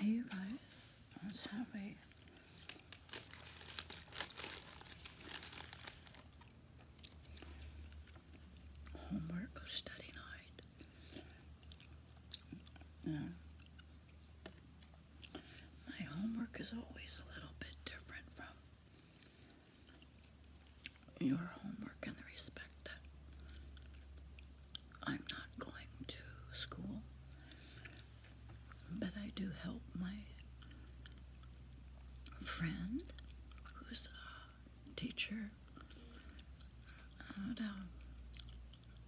Hey you guys, let's have homework study night. My homework is always a little bit different from your homework and the respect I'm not going to school, but I do help my friend who's a teacher at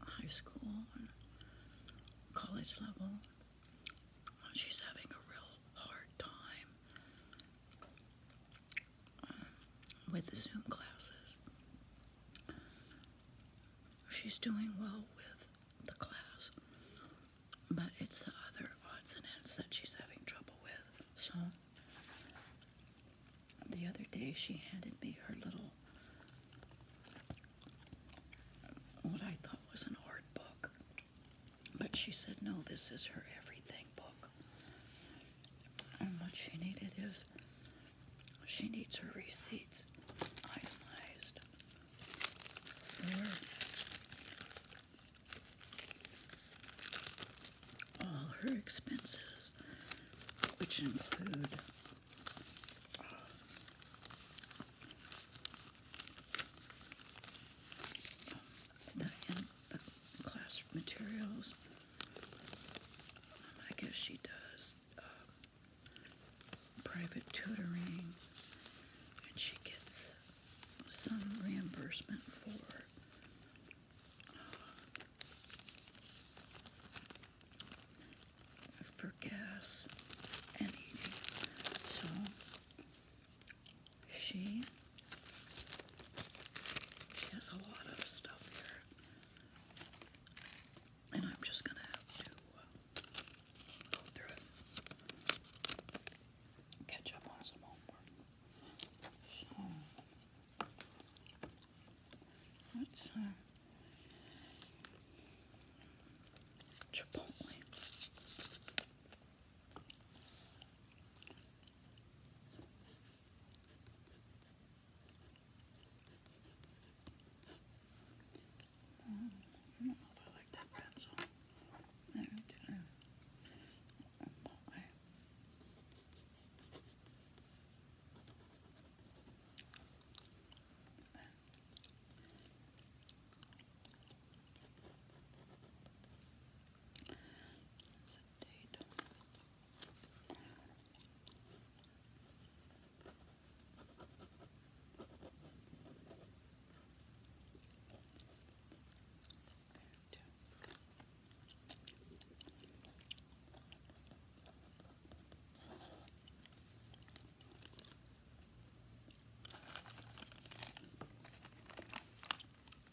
high school and college level. She's having a real hard time with the Zoom classes. She's doing well with the class, but it's the other odds and ends that she's having trouble with. So, the other day she handed me her little, what I thought was an art book. But she said, no, this is her everything book. And what she needed is, she needs her receipts itemized all her expenses, which include uh, not in the class materials. Um, I guess she does uh, private tutoring, and she gets some reimbursement for uh, for gas and eating. So she she has a lot of stuff here, and I'm just gonna have to uh, go through it, catch up on some homework. So uh, Chipotle. Mm, I don't know if I like that pencil. I date.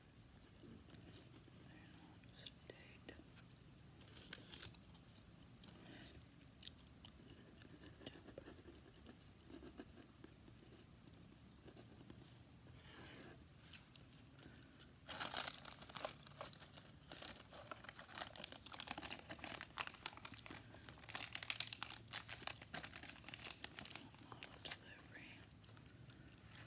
date. Delivery.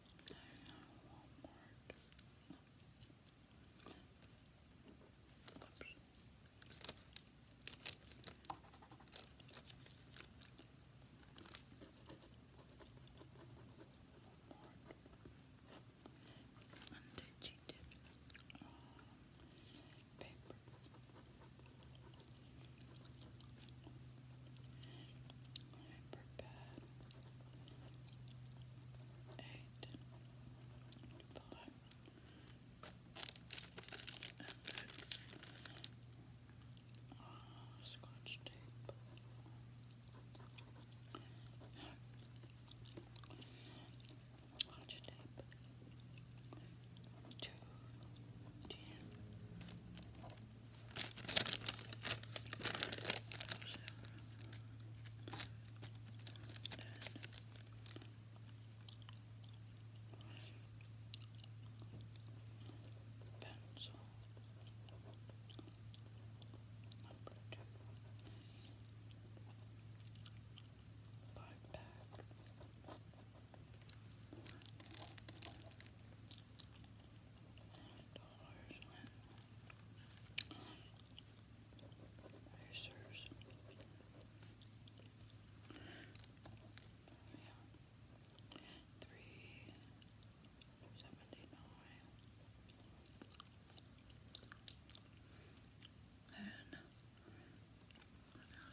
Walmart. Oops. Walmart. And did she do uh, paper? Paper bag eight, five, and then uh, scotch tape. Scotch tape to ten pencil number two five pack dollars and Erasers. Yeah. Three seventy nine. And what else did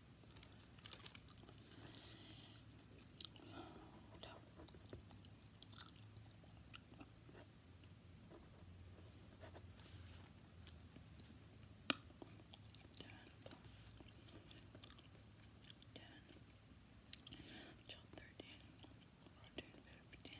No. Ten. Ten. Thirteen. Fourteen. Fifteen.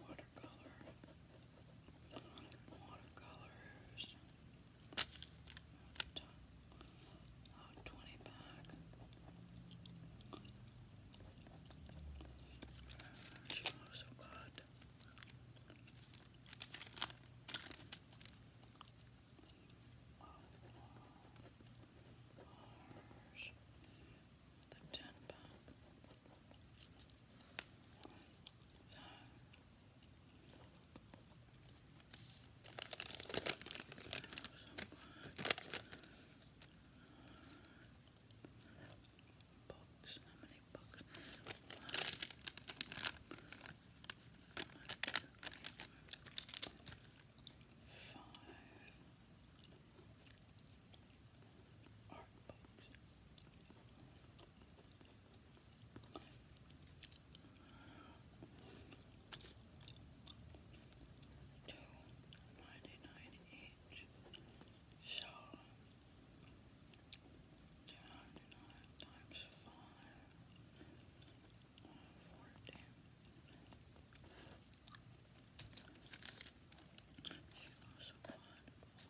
watercolor, watercolors, 20 pack. She also got the ten pack. Books, how many books? One, two, three, four, five, all right, folks. Two ninety nine each. So two ninety nine times five. Fourteen. She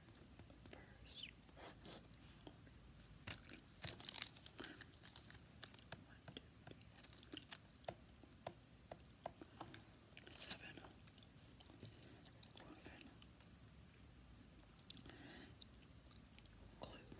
first. One, two, three. Seven. Eleven.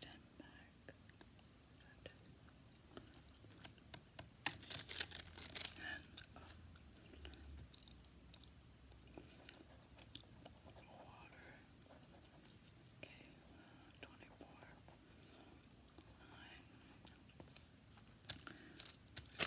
Denmark. And, uh, water. Okay, uh, 24. Nine. So,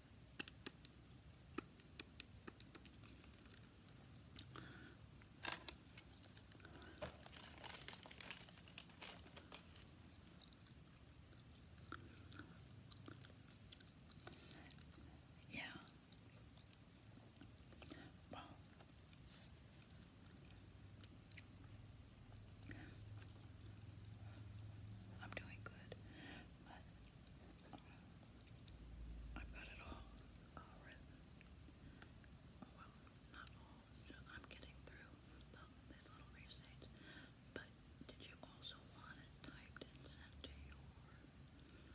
Yeah. Well. I'm doing good, but I've got it all, Oh, well, not all. You I'm getting through these little receipts. But did you also want it typed and sent to your your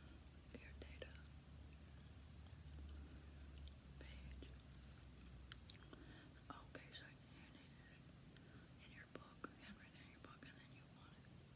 data page? Okay, so you in your book, handwritten in your book, and then you want it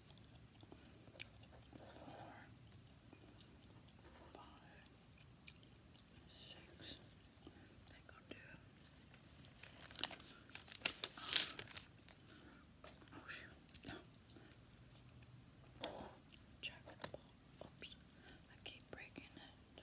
four, five, six. They oh shoot! No. Check Oops! I keep breaking it.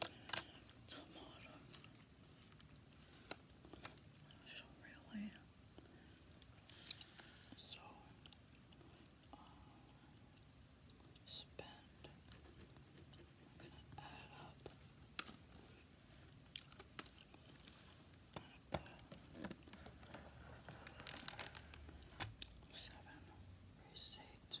tomato. So really, so spend. I'm gonna add up. Seven, receipt.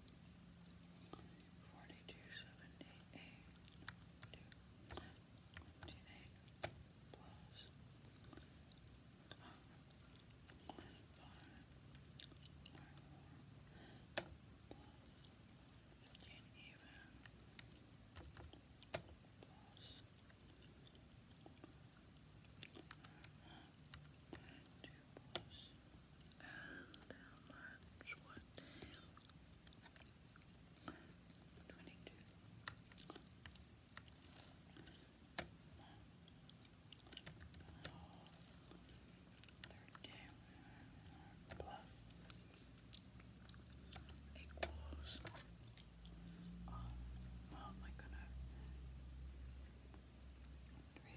Forty-two seventy-eight two twenty-eight even plus Two plus and how What? 22 13 plus equals um, oh my goodness 3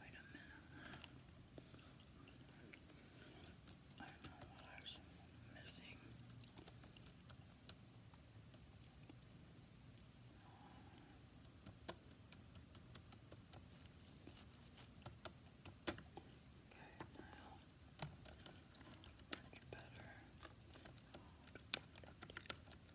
Wait a minute. I know what I was missing. Okay, now much better.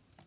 No more.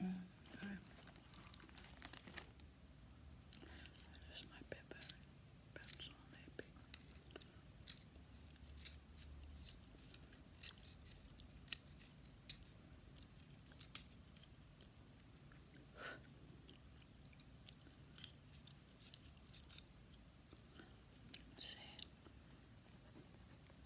Okay. Just my paper pencil maybe. See,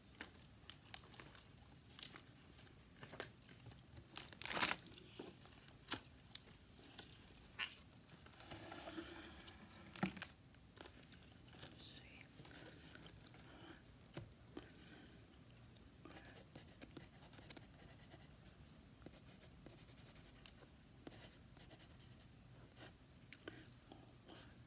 see. One,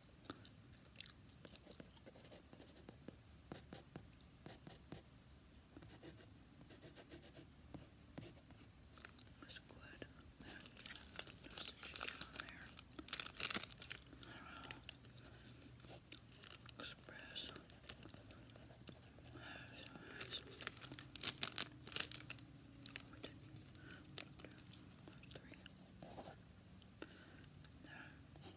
There's good. There's, there's the chicken on there. I don't know. Express. That's nice. What did Three. There.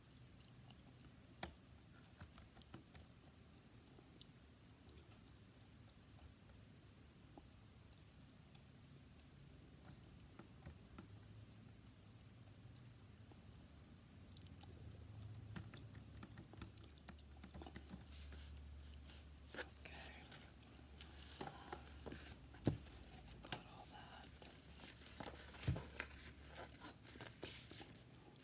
Got all that.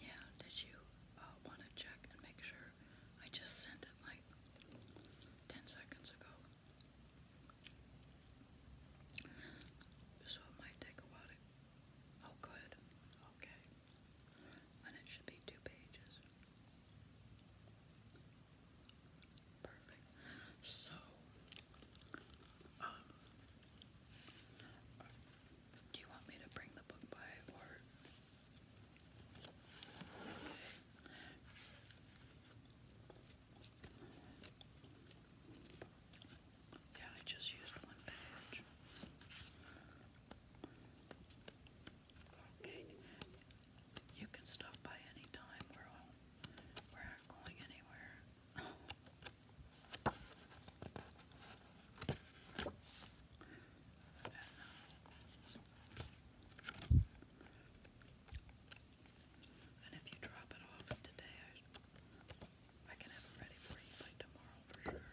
Yeah, did you uh, want to check and make sure? I just sent it like 10 seconds ago. So it take a while Oh, good. Okay. And it should be two pages. Perfect. So, um, do you want me to bring the book by or? Yeah, I just used one page. Okay, you can stop by any time. We're we're not going anywhere. And if you drop it off today, I, can have it ready for you by tomorrow for sure.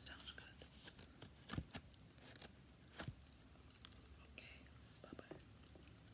Sounds good. Okay, bye bye.